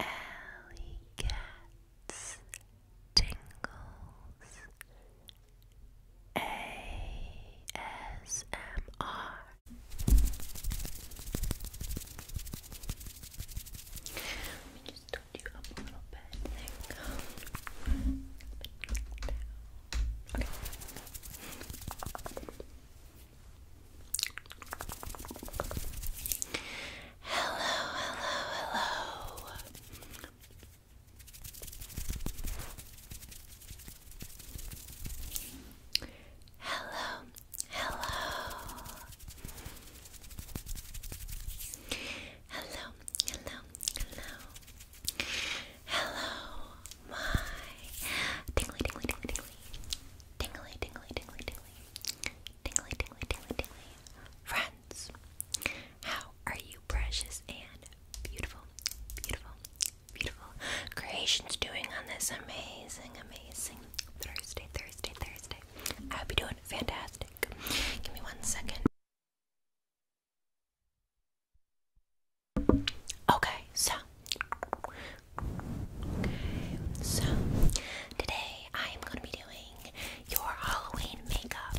Alley Cats Tingles ASMR Let me just tilt you up a little bit. There you go. Okay. Hello, hello, hello. Hello, hello. Hello, hello, hello. my tingly, tingly, tingly, tingly. Tingly, tingly, tingly, tingly. Tingly, tingly, tingly, tingly. Friends, how are you, precious and beautiful, beautiful, beautiful creations doing on this amazing, amazing Thursday, Thursday, Thursday? I hope you're doing fantastic. Give me one second. Okay, so Okay, so today I am going to be doing your Halloween makeup.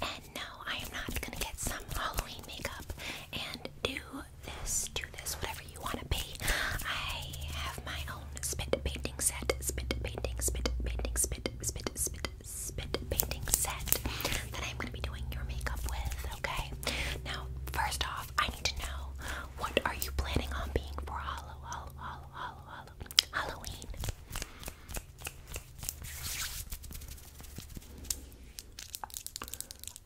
And no, I am not going to get some Halloween makeup and do this, do this, whatever you want to be. I have my own spit painting set, spit painting, spit painting, spit, spit, spit, spit painting set that I'm going to be doing your makeup with, okay? Now, first off, I need to know what are you planning on being for Halloween? Halloween.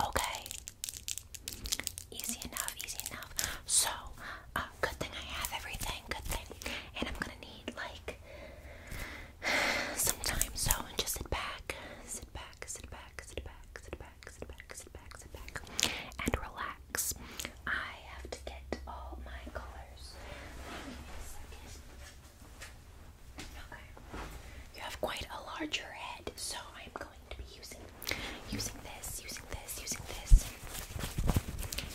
Okay. Easy enough, easy enough. So, uh, good thing I have everything, good thing. And I'm gonna need like some time, so just sit back, sit back, sit back, sit back, sit back sit back, sit back, sit back, and relax. I have to get all my colors. Okay. You have quite a larger head, so I'm going to be using using this, using this, using this.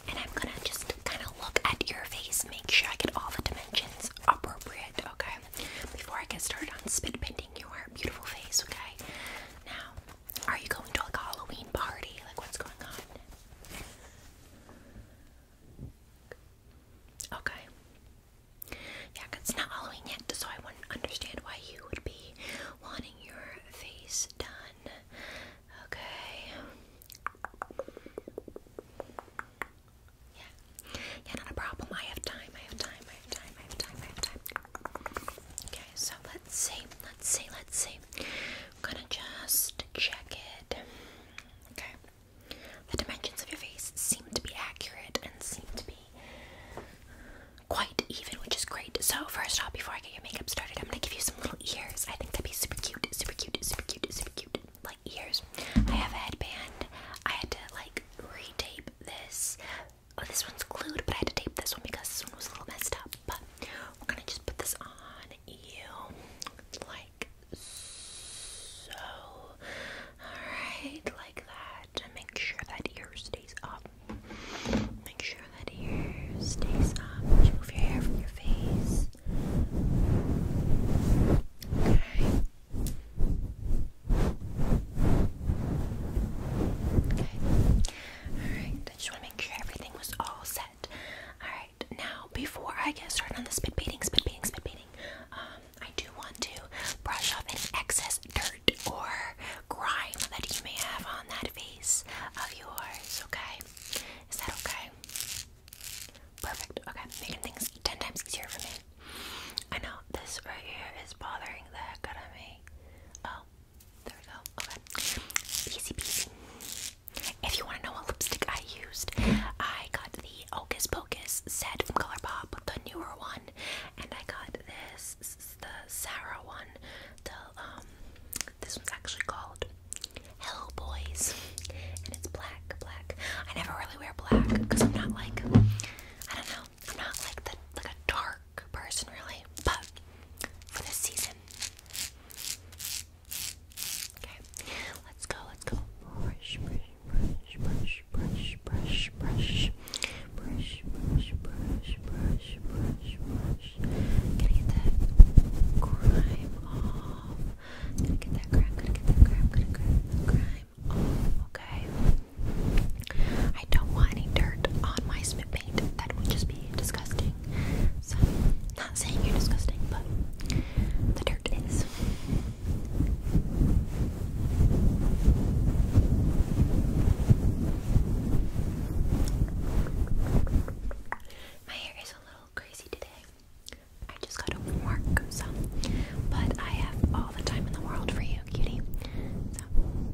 And I'm gonna just kinda look at your face, make sure I get all the dimensions appropriate, okay? Before I get started on spit painting your beautiful face, okay? Now are you going to like a Halloween party? Like, what's going on? Okay. Yeah, it's not Halloween yet, so I wouldn't understand why you would be wanting your face done. Okay. Yeah. Yeah, not a problem. I have time. I have time. I have time. I have time. I have time. Okay, so let's see, let's see, let's see. I'm gonna just check it. Okay. The dimensions of your face seem to be accurate and seem to be quite even, which is great. So, first off, before I get your makeup started, I'm gonna give you some little ears. I think that'd be super cute, super cute, super cute, super cute. Like ears. I have a headband. I had to like re-tape this oh, this one's glued, but I had to tape this one because this one was a little messed up. But we're gonna just put this on you like so. Alright, like that. And make sure that ear stays up. Make sure that ear stays up. move your hair from your face. Okay. Okay. Alright, to make sure everything was all set. Alright, now before I get started on the spit beating, spit beating, spit beating, um, I do want to brush off any excess dirt or grime that you may have on that face of yours, okay? Is that okay? Perfect, okay, making things ten times easier for me. I know this right here is bothering the heck out of me. Oh, if you want to know what lipstick I used, I got the Hocus Pocus set from Color Pop, the newer one, and I got this, this is the Sarah one. The um, this one's actually called Hello Boys, and it's black, black. I never really wear black because I'm not like, I don't know, I'm not like the like a dark work person, really, but for this season. Okay, let's go, let's go. Brush, brush, brush, brush, brush, brush, brush. Brush, brush, brush, brush, brush, brush. Gonna get that grime off. Gonna get that grime, gonna get that grime, gonna get that grime off, okay? I don't want any dirt on my spit paint. That would just be disgusting disgusting. So, not saying you're disgusting, but the dirt is. My hair is a little crazy today. I just got home work, so. But I have all the time in the world for you, cutie. So.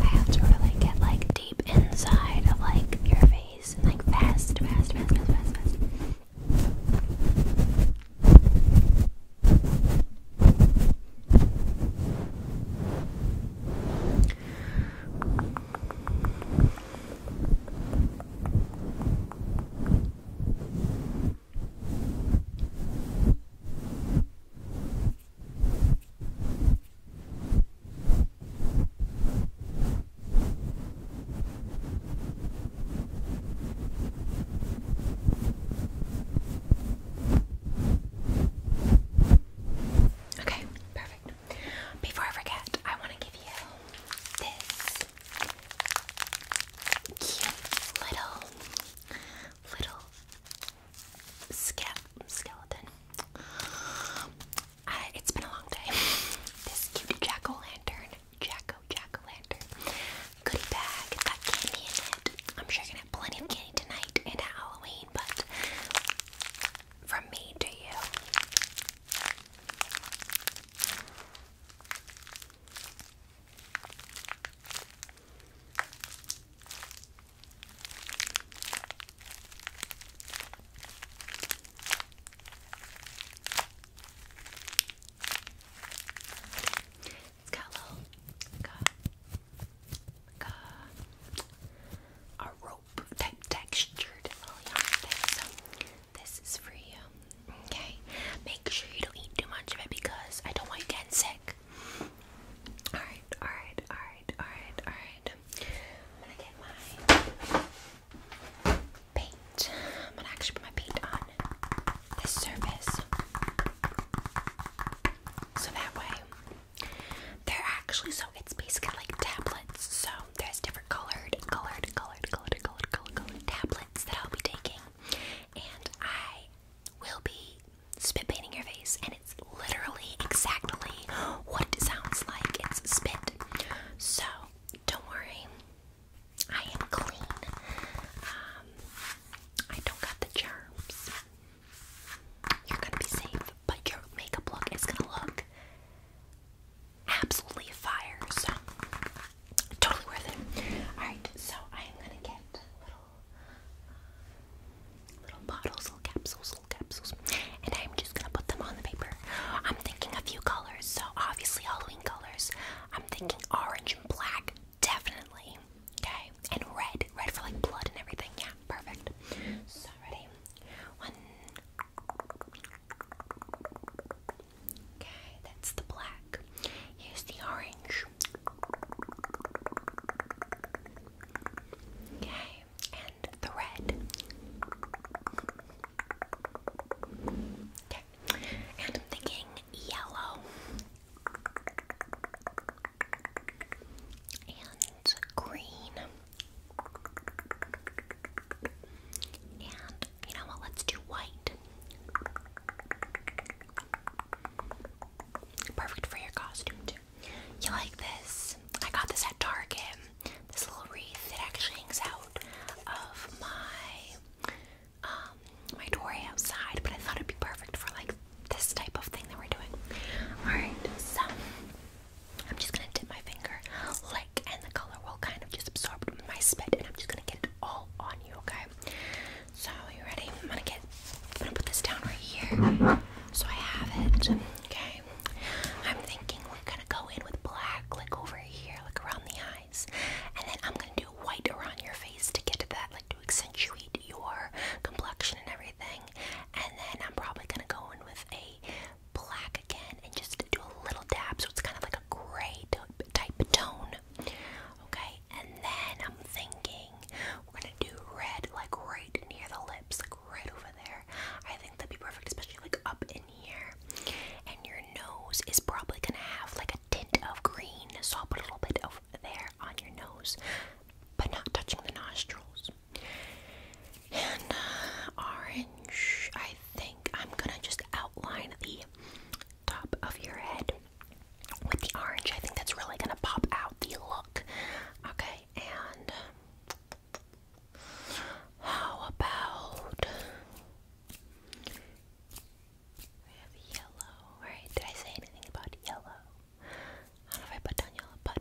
I have to really get like deep inside of like your face and like fast, fast, fast, fast, fast, fast. Okay, perfect. Before I forget, I want to give you this cute little little skeleton. it's been a long day. This cute jack o' lantern, Jacko Jack o' lantern goodie bag. got candy in it. I'm sure you're gonna have plenty of candy tonight and at Halloween, but from me to you. It's got a little, a rope type textured little yarn thing. So this is for you. Okay. Make sure you don't eat too much of it because I don't want you getting sick. Alright, alright, alright, alright, alright. I'm gonna get my paint. I'm gonna actually put my paint on this surface. So that way, they're actually, so it's basically like tablets. So there's different colored, colored, colored, colored, colored, colored, tablets that I'll be taking. And I will be spit painting your face, and it's literally exactly what it sounds like. It's spit. So don't worry, I am clean. Um, I don't got the germs. You're gonna be safe, but your makeup look is gonna look absolutely fire. So totally worth it. All right, so I am gonna get Little bottles, little capsules, little capsules. And I'm just gonna put them on the paper. I'm thinking a few colors, so obviously Halloween colors. I'm thinking orange and black, definitely. Okay, and red, red for like blood and everything. Yeah, perfect. So ready? Okay, that's the black. Here's the orange. Okay, and the red. Okay, and the am yellow and green. And you know what? Let's do white. Perfect for your costume too. You like this? I got this at Target. This little wreath. It actually hangs out of my um my doorway outside, but I thought it'd be perfect for like this type of thing that we're doing. Alright, so I'm just gonna dip my finger, lick, and the color will kind of just absorb my spit, and I'm just gonna get it all on you, okay? So you ready? I'm gonna get I'm gonna put this down right here. So I have it. Okay. I'm thinking we're gonna go in with black, like over here, like around the eyes. And then I'm gonna do white around your face to get that, like to accentuate your complexion and everything. And then I'm probably gonna go in with a black again and just do a little dab so it's kind of like a gray type tone. Okay, and then I'm thinking we're gonna do red, like right near the lips, like right over there. I think that'd be perfect, especially like up in here. And your nose is probably gonna have like a tint of green, so I'll put a little bit of there on your nose, but not touching the nostrils. And uh, orange, I think I'm gonna just outline the top of your head with the orange. I think that's really gonna pop out the look. Okay, and how about yellow, right? Did I say anything about yellow? I don't know if I put down yellow, but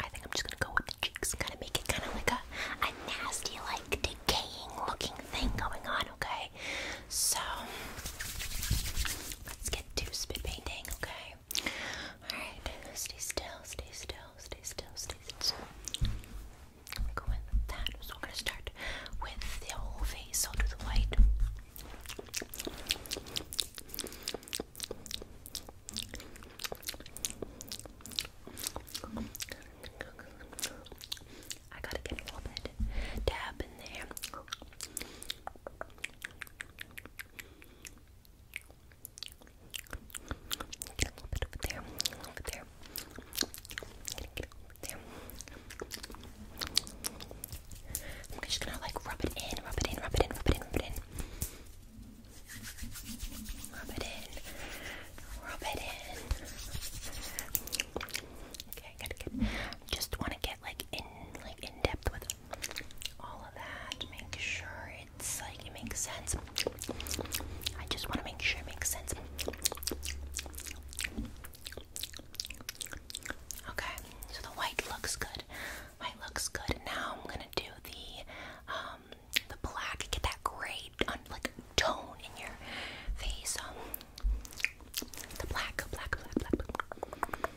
I think I'm just gonna go with cheeks, kind of make it kind of like a nasty, like decaying looking thing going on, okay? So let's get to spit painting, okay? Okay. Alright, stay still, stay still, stay still, stay still. We're going with that. So we're gonna start with the whole face, so do the white. I gotta get a little bit dab in there. I'm just gonna like rub it in, rub it in, rub it in, rub it in, rub it in. Rub it in. Rub it in. Okay, good, good. Just wanna get like in like in depth with all of that. Make sure it's like it makes sense. I just want to make sure it makes sense. Okay, so the white looks good. White looks good. Now I'm gonna do the um the black. Get that gray like tone in your face. Um, the black, black, black, black.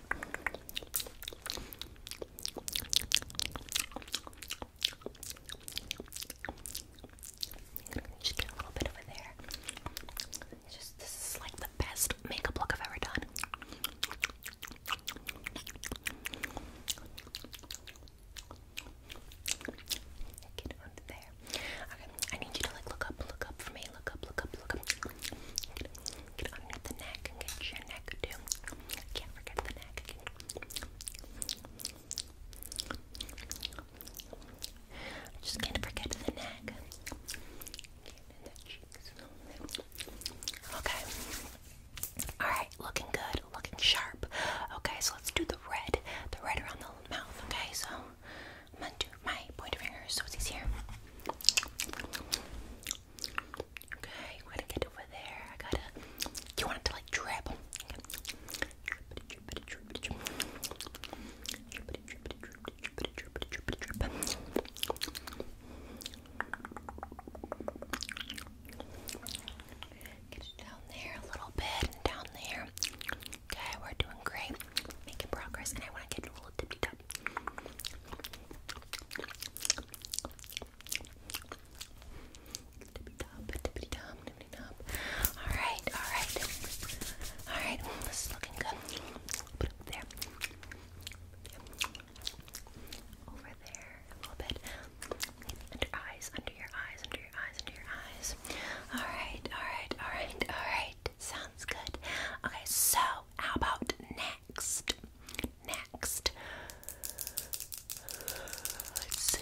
Just get a little bit over there. this is like the best makeup look I've ever done. Get under there. Okay, I need you to like look up, look up for me. Just can't forget the neck. Okay. Alright, looking good, looking sharp. Okay, so let's do the red. The red around the mouth, okay? So I'm gonna do my pointer finger so it's easier. Okay, I'm to get over there. I gotta. you want it to like drip? Get it down there a little bit and down there. Okay, we're doing great. Making progress, and I want to get a little dippy dot Alright, alright. Alright, this is looking good. Put it there. Over there, a little bit. Under eyes, under your eyes, under your eyes, under your eyes. Alright, alright, alright, alright. Sounds good. Okay, so how about now? next. Next. Let's see.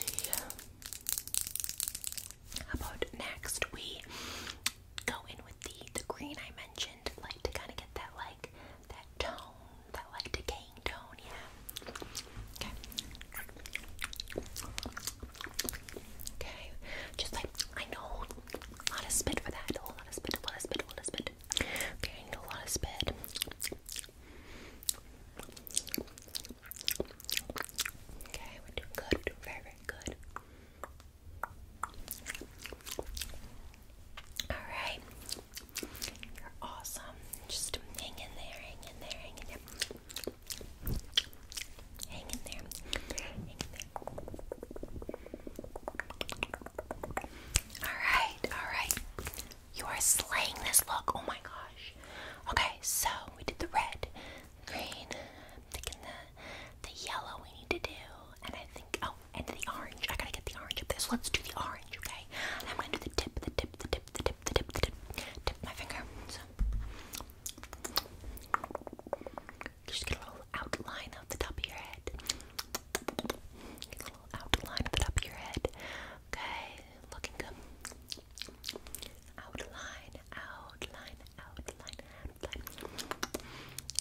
about next we go in with the the green I mentioned, like to kind of get that like that tone, that like decaying tone, yeah. Okay. Okay. Just like I know a lot of spit for that. A lot of spit, a lot of spit, a lot of spit i need a lot of speed. Okay, we're doing good. very, good. Alright. You're awesome. Just hang in there, hang in there. Hang in there. Hang in there. Alright, alright. You are slaying this look. Oh my gosh. Okay, so we did the red, green, I'm thinking the the yellow we need to do, and I think oh, and the orange. I gotta get the orange up there. So let's do the orange, okay? I'm gonna do the tip, the tip, the tip, the tip, the tip, the tip, tip my finger. just get a little outline of the top of your head outline the top of your head. Okay, looking up. Outline, outline, outline, outline.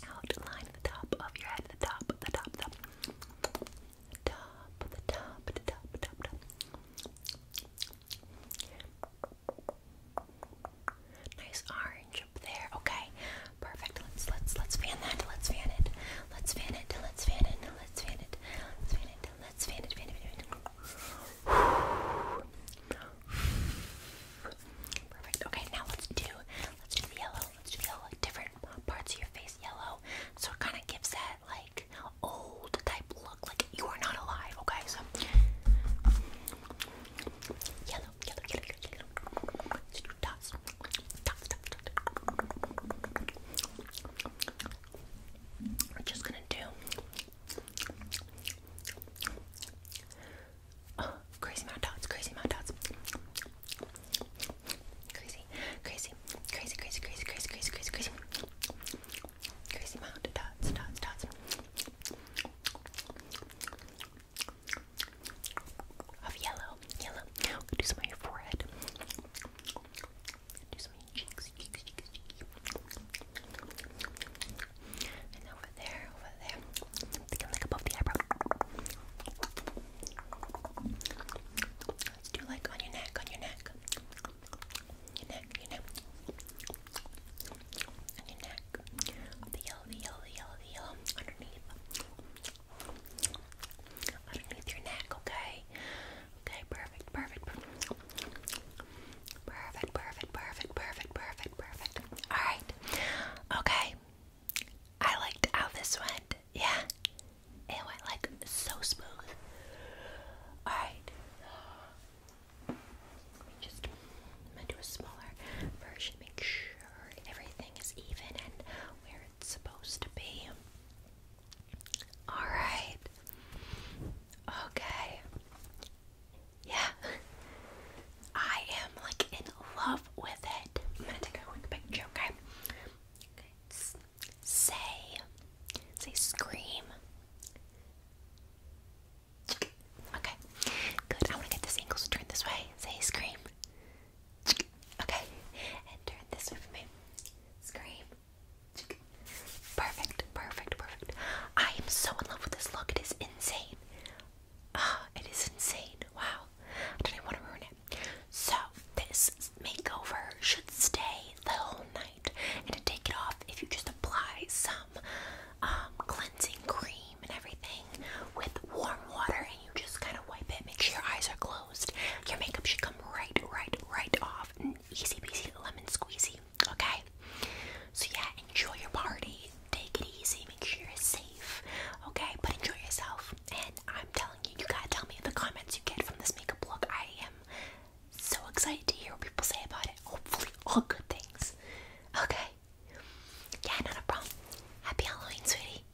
Outline the top of your head, the top, the top, the top. Top, the top, the top, the top. Nice orange up there. Okay, Perfect. Let's let's let's fan that. Let's fan it. Let's fan it. Let's fan it. Let's fan it. Let's fan it. Let's fan it. Fan it. Fan it. Perfect. Okay, now let's do let's do the yellow. Let's do the yellow. Like different parts of your face yellow. So it kind of gives that like old type look, like you are not alive. Okay, so yellow, yellow, yellow, yellow. Let's do we're just gonna do oh, crazy amount dots, crazy amount dots. Crazy, crazy, crazy, crazy, crazy, crazy, crazy, crazy, crazy. Crazy dots, dots, dots of yellow. Yellow. Do some on your forehead. Do some on your cheeks. And over there, over there. I'm like above the eyebrow. Let's do like on your neck, on your neck. Your neck, your neck. On your neck. The yellow, the yellow, the yellow, the yellow. Underneath underneath your neck, okay? Okay, perfect, perfect, perfect, perfect, perfect, perfect, perfect, perfect, perfect. All right, okay. I liked how this went. Yeah, it went like so smooth. All right, let me just I'm gonna do a smaller version everything is even and where it's supposed to be. Alright. Okay. Yeah. I am like in love with it. I'm gonna take a quick picture, okay? Okay. say. Say scream. Okay. Good. I wanna get this angle so this way. Say scream. Okay, and turn this way for me. Scream. Perfect, perfect, perfect. I am so in love with this look. It is insane. Ah, it is insane. Wow. I don't even want to ruin it. So, this makeover should stay the whole night. And to take it off, if you just apply some um, cleansing cream and everything with warm water and you just kind of wipe it, make sure your eyes are closed your makeup should come right, right, right off. Easy peasy lemon squeezy, okay? So, yeah, enjoy your party. Take it easy. Make sure you're safe, okay? But enjoy yourself. And I'm telling you, you gotta tell me the comments you get from this makeup look. I am so excited to hear what people say about it. Hopefully, all good things, okay? Yeah, not problem. Happy Halloween, sweetie.